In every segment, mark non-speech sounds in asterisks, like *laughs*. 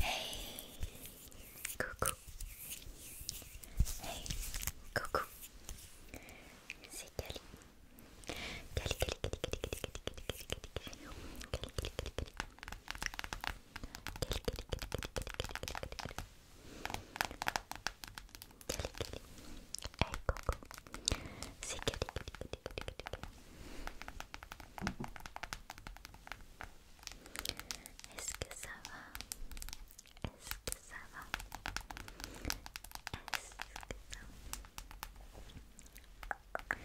Hey coucou Hey coucou C'est Cali Cali Cali Cali Cali Cali Cali Cali Cali Cali Cali Hey coucou Cali Cali Cali Cali Cali est-ce que ça va Est-ce que ça va Est-ce que ça va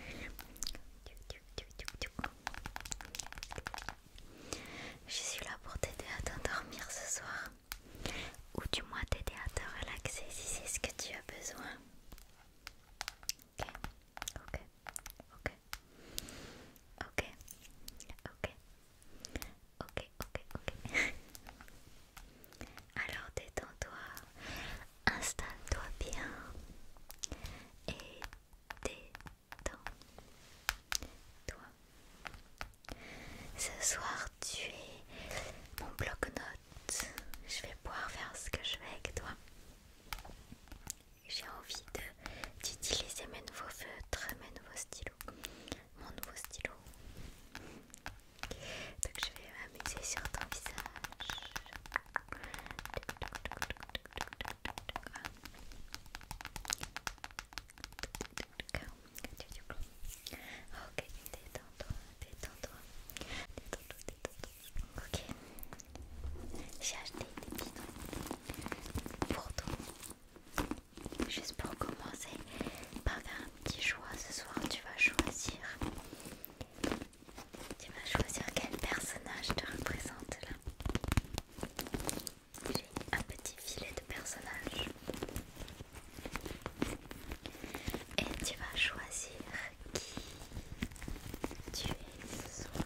Je suis là pour t'aider à t'endormir ce soir. Ou du moins t'aider à te relaxer si c'est ce que tu as besoin. Ok, ok, ok. Ok, ok, ok, ok, ok. *laughs* Alors détends-toi, installe-toi bien et détends-toi. Ce soir, tu es mon bloc-notes. Je vais pouvoir faire ce que je veux avec toi j'ai envie d'utiliser mes nouveaux feutres, mes nouveaux stylos, mon nouveau stylo. Donc je vais m'amuser sur ton visage. Ok, détends-toi, détends-toi, détends-toi, Ok. J'ai acheté des petits pour toi. Juste pour commencer par faire un petit choix ce soir, tu vas choisir. Tu vas choisir quel personnage te représente là. J'ai un petit filet de personnages. Et tu vas choisir qui tu es ce soir.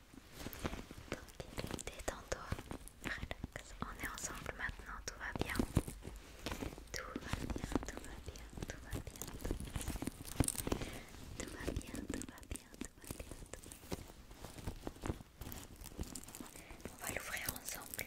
détends-toi, relax. On est ensemble maintenant, tout va bien. Tout va bien, tout va bien, tout va bien. Tout va bien, tout va bien, tout va bien, tout va bien. On va l'ouvrir ensemble.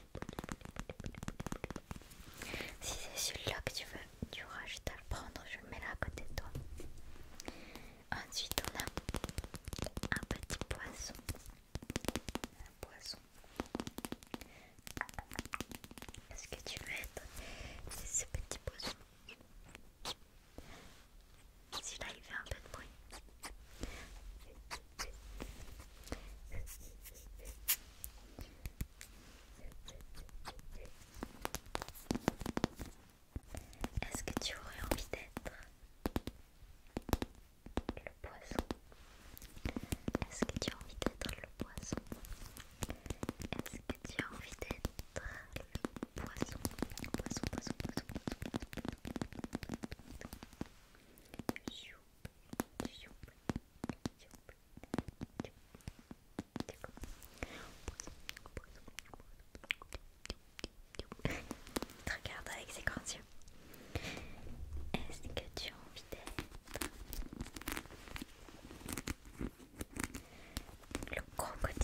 si c'est celui-là que tu veux, tu rajoutes à le prendre, je le mets là à côté de toi. Ensuite on a un petit poisson. Un poisson. Est-ce que tu veux être ce petit poisson Celui-là il fait un peu de bruit. Est-ce que tu aurais envie d'être le poisson Est-ce que tu as envie d'être le poisson Est-ce que tu as envie d'être le poisson poisson regarde avec ses grands Est-ce que tu as envie d'être le crocodile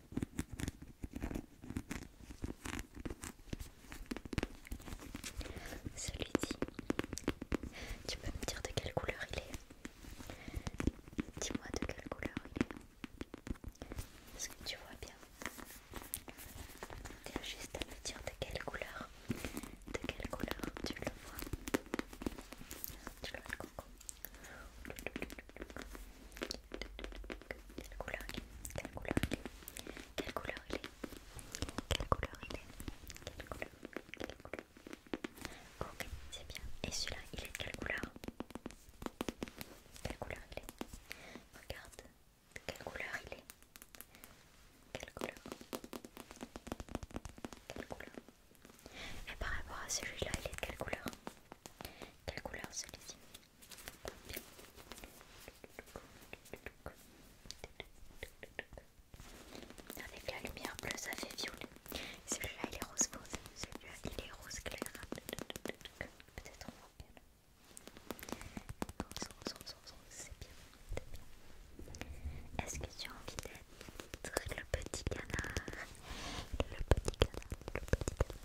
celui-ci, tu peux me dire de quelle couleur il est Dis-moi de quelle couleur il est. Est-ce que tu vois bien as juste à me dire de quelle couleur De quelle couleur tu le vois Tu le vois le coco quelle couleur il est Quelle couleur il est Quelle couleur il est Quelle couleur il est Quelle couleur Quelle couleur Ok, c'est bien. Et celui-là, il est de quelle couleur Quelle couleur il est Regarde, quelle couleur il est Quelle couleur Quelle couleur Et par rapport à celui-là, il est de quelle couleur quelle couleur celui-ci Avec la lumière bleue, ça fait violet. Celui-là, il est rose rose. Celui-là, il est rose clair. Peut-être Rose, c'est bien. Est-ce que tu as envie d'être le petit canard Le petit canard, le petit canard.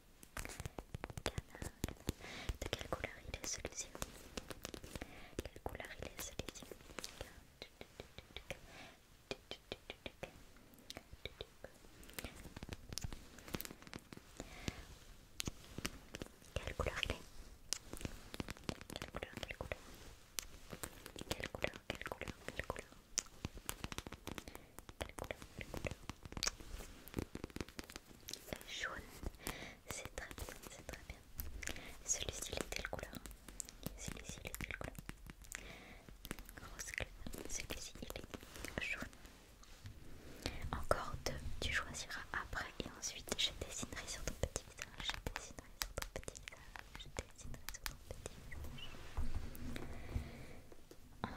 De quelle couleur il est celui-ci Quelle couleur il est celui-ci quelle couleur il est couleur Quelle couleur Quelle couleur couleur jaune, c'est très bien, c'est très bien. Celui-ci, il est quelle couleur Celui-ci, il est quelle couleur Rose Celui-ci, il est jaune. Encore deux, tu choisiras après et ensuite je dessinerai sur ton petit visage. Je dessinerai sur ton petit visage. Je dessinerai sur ton petit visage.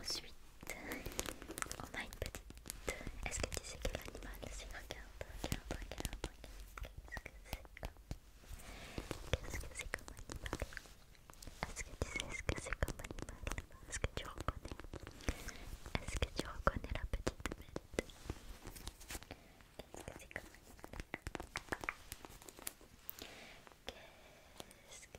Ensuite, on a une petite. Est-ce que tu sais quel animal c'est Regarde, regarde, regarde, regarde. Qu'est-ce que c'est comme... -ce que comme animal Est-ce que tu sais ce que c'est comme animal Est-ce que tu reconnais Est-ce que tu reconnais la petite bête Qu'est-ce que c'est comme animal Qu'est-ce que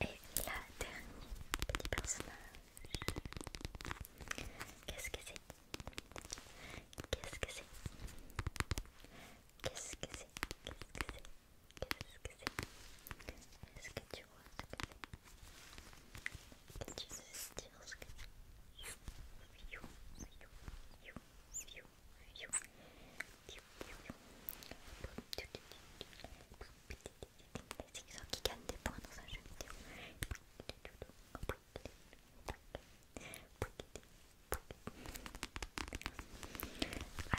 Et la dernière petite personnage. Qu'est-ce que c'est Qu'est-ce que c'est Qu'est-ce que c'est Qu'est-ce que c'est Qu'est-ce que c'est quest ce que tu vois ce c'est quest ce que tu vois? quest ce que tu qui points un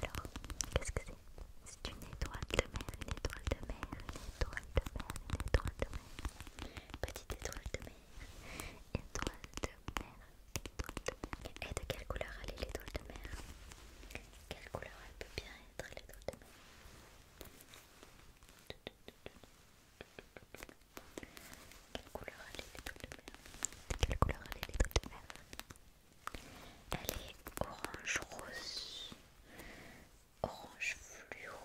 Alors, qu'est-ce que c'est C'est une étoile de mer, une étoile de mer, une étoile de mer, une étoile de mer. Petite étoile de mer, étoile de mer, étoile de mer. Et de quelle couleur elle est l'étoile de mer quelle couleur elle peut bien être les doigts de Quelle couleur elle est les doigts de Quelle couleur elle est les doigts de Elle est orange rose, orange fluo,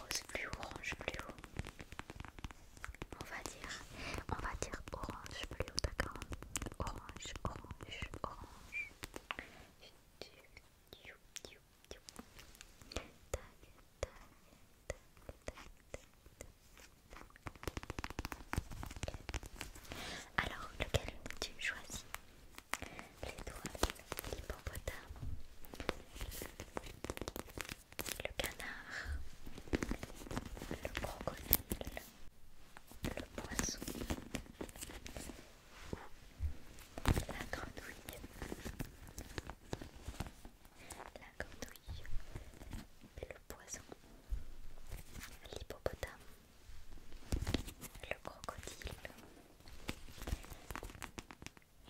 rose fluo, orange fluo on va dire, on va dire orange bleu, d'accord Orange, orange, orange. Alors, lequel tu choisis les l'hippopotame, le canard, le crocodile, le poisson ou la grenouille. La grenouille, le poisson, l'hippopotame, le crocodile,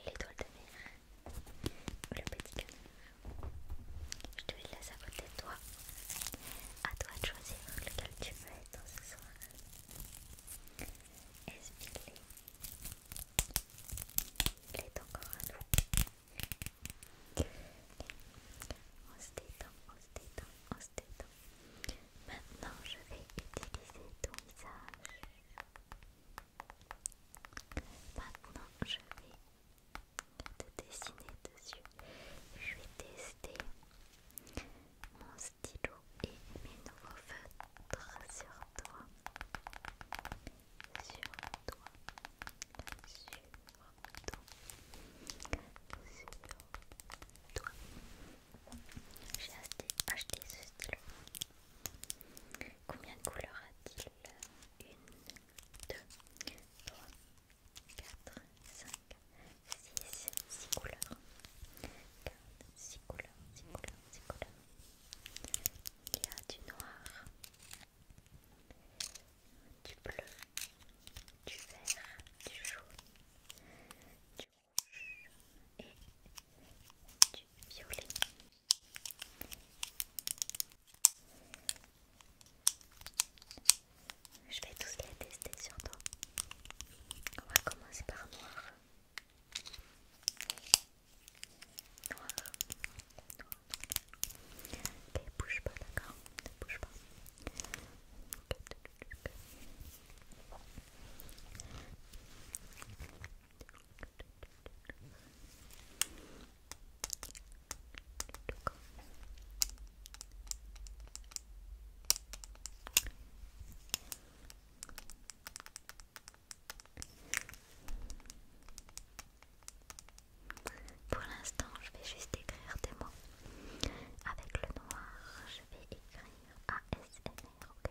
l'étoile de mer, le petit canard. Je te laisse à côté de toi. À toi de choisir lequel tu veux être ce soir. Esbilé. Il est encore à nous. On se détend, on se détend, on se détend. Maintenant, je vais utiliser ton visage. Maintenant, je vais de dessiner dessus. Je vais tester mon stylo et mes nouveaux feutres sur toi. Sur toi. Sur toi. Sur toi. J'ai acheté, acheté ce stylo. Combien de couleurs a-t-il Une, 2, 3, 4, 5, 6, 6 couleurs. 4, 6 couleurs, 6 couleurs, 6 couleurs. Il y a du noir, du bleu, du vert, du jaune, du rouge et du violet. Je vais tous les tester sur On va commencer par noir. Noir. noir. Ok, bouge pas, d'accord Ne bouge pas. Pour l'instant, je vais juste écrire des mots. Avec le noir, je vais écrire ASMR, ok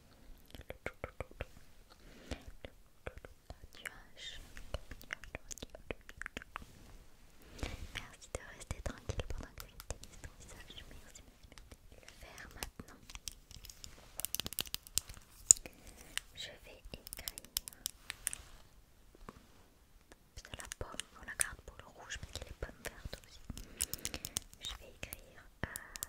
Merci de rester tranquille pendant que j'utilise ton visage. Merci, de le faire maintenant. Je vais écrire c'est la pomme, la carte pour le rouge y a les pommes vertes aussi. Je vais écrire euh,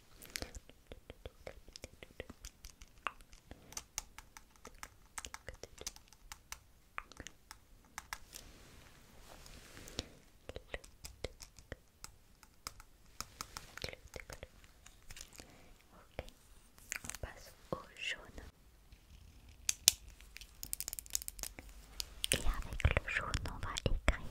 Ok, on passe au jaune. Et avec le jaune, on va écrire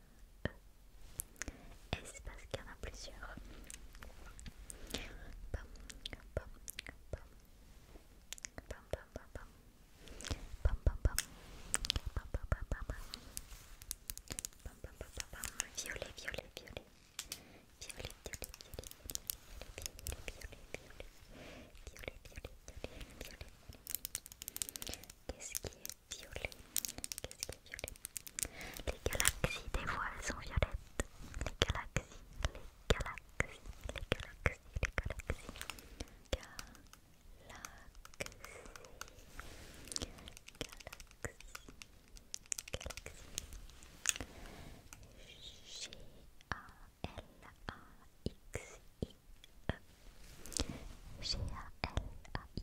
est Et parce qu'il y en a plusieurs. Qu'est-ce qui est violet. Qu'est-ce violet Les galaxies, des fois, sont violettes. Les galaxies, les galaxies, les galaxies, les galaxies. Galaxies, galaxies, galaxies. G-A-L-A-X-I-E. g a l a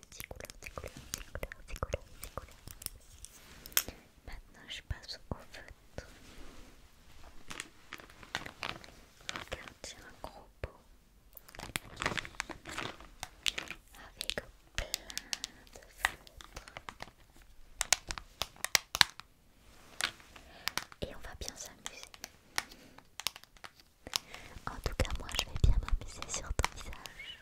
Des couleurs, des couleurs, des couleurs, des couleurs, des couleurs. Maintenant, je passe au feutre. Regarde, tient un gros pot avec plein de feutres. Et on va bien s'amuser. En tout cas, moi je vais bien m'amuser sur ton visage.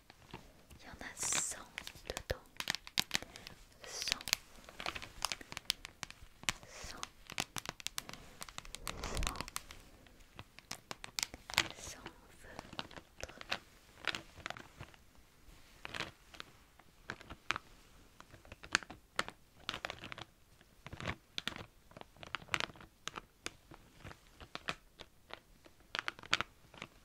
Il y en a cent dedans.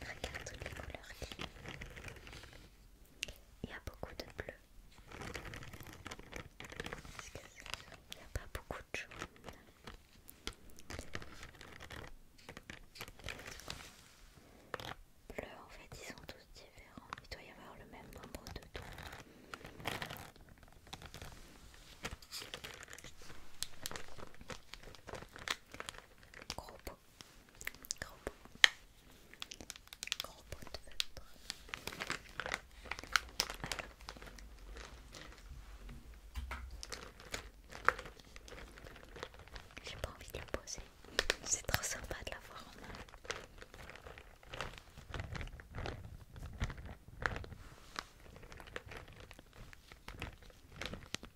Regarde toutes les couleurs Il y a beaucoup de bleu. il n'y a pas beaucoup de jaune. Bleu, en fait, ils sont tous différents. Il doit y avoir le même nombre de dons. Gros pot. Gros pot. de feutre. J'ai pas envie de le poser. C'est trop sympa de l'avoir en main.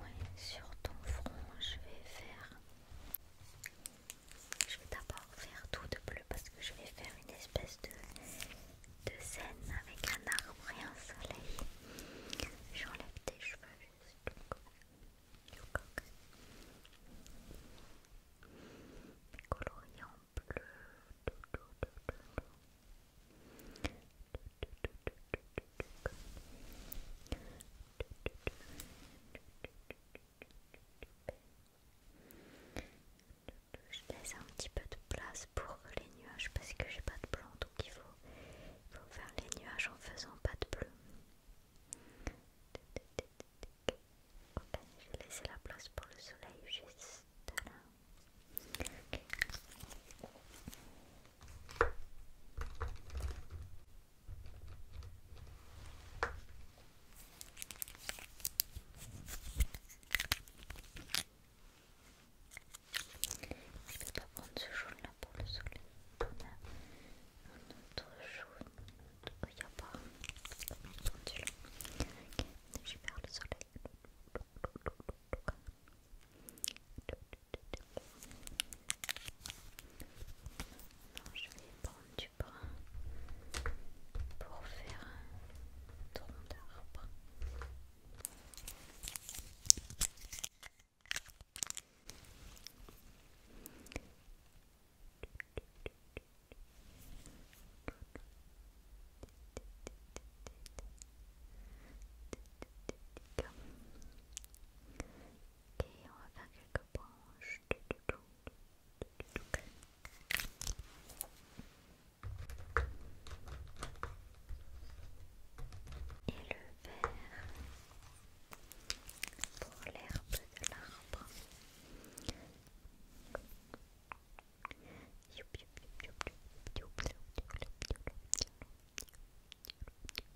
Oui, sur ton front, je vais faire. Je vais d'abord faire tout de bleu parce que je vais faire une espèce de, scène avec un arbre et un soleil. J'enlève tes cheveux juste colorier en bleu. Je laisse un petit peu de place pour les nuages parce que j'ai pas de blanc donc il faut, faire les nuages en faisant pas de bleu. Ok, vais laisser la place pour le soleil juste là. Je vais pas prendre ce jaune là pour le soleil. On a un jaune. Oh, il n'y a pas. je vais faire le soleil. Non, je vais prendre du brun pour faire un tronc d'arbre. Ok, on va faire quelques branches. Et le vert pour l'herbe de l'arbre.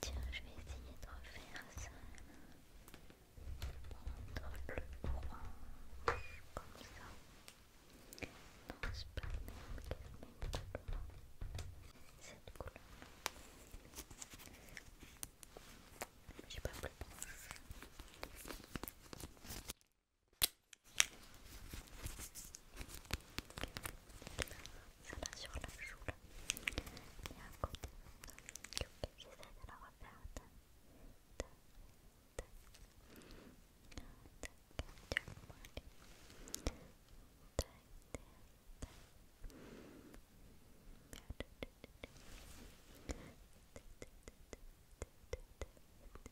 Tiens, je vais essayer de refaire ça. Prendre le orange comme ça. Non, c'est pas le même, c'est le même Cette couleur. J'ai pas plus proche. Ça va sur la joue là. et y a un côté. la refaire. ta ta ta ta ta ta ta ta ta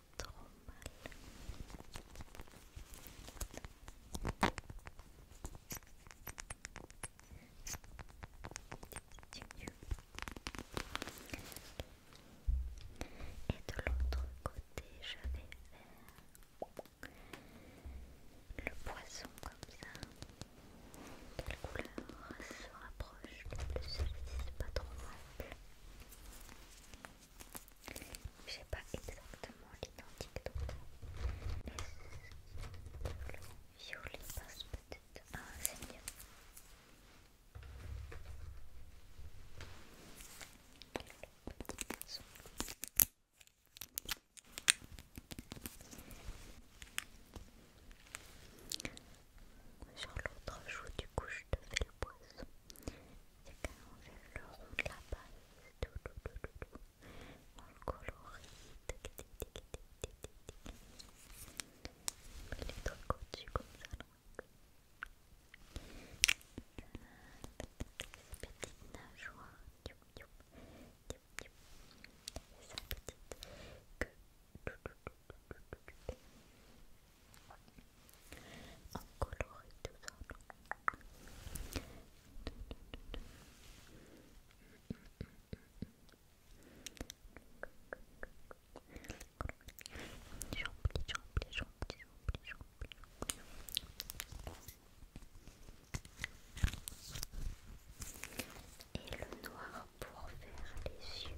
trop mal. Et de l'autre côté, je vais faire le poisson comme ça. Quelle couleur se rapproche le plus Celui-ci, c'est pas trop mal. Je J'ai pas exactement l'identique donc. Mais le violet passe peut-être. Ah, c'est mieux. Sur l'autre joue, du coup, je te fais le poisson le de la base, tout, tout, On le colorie, tic, comme ça, Petite nageoire, petite coloré tout ça. J'oublie, j'oublie, j'oublie, j'oublie, j'oublie. Et le noir pour faire les yeux.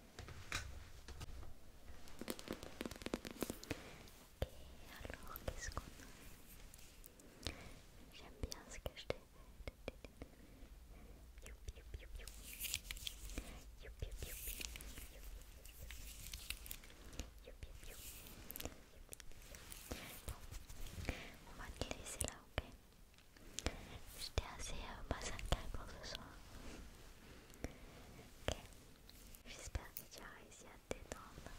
Ok, alors qu'est-ce qu'on J'aime bien ce que je t'ai Bon, on va laisser là, ok J'étais assez pour ce soir j'espère que tu as réussi à te détendre.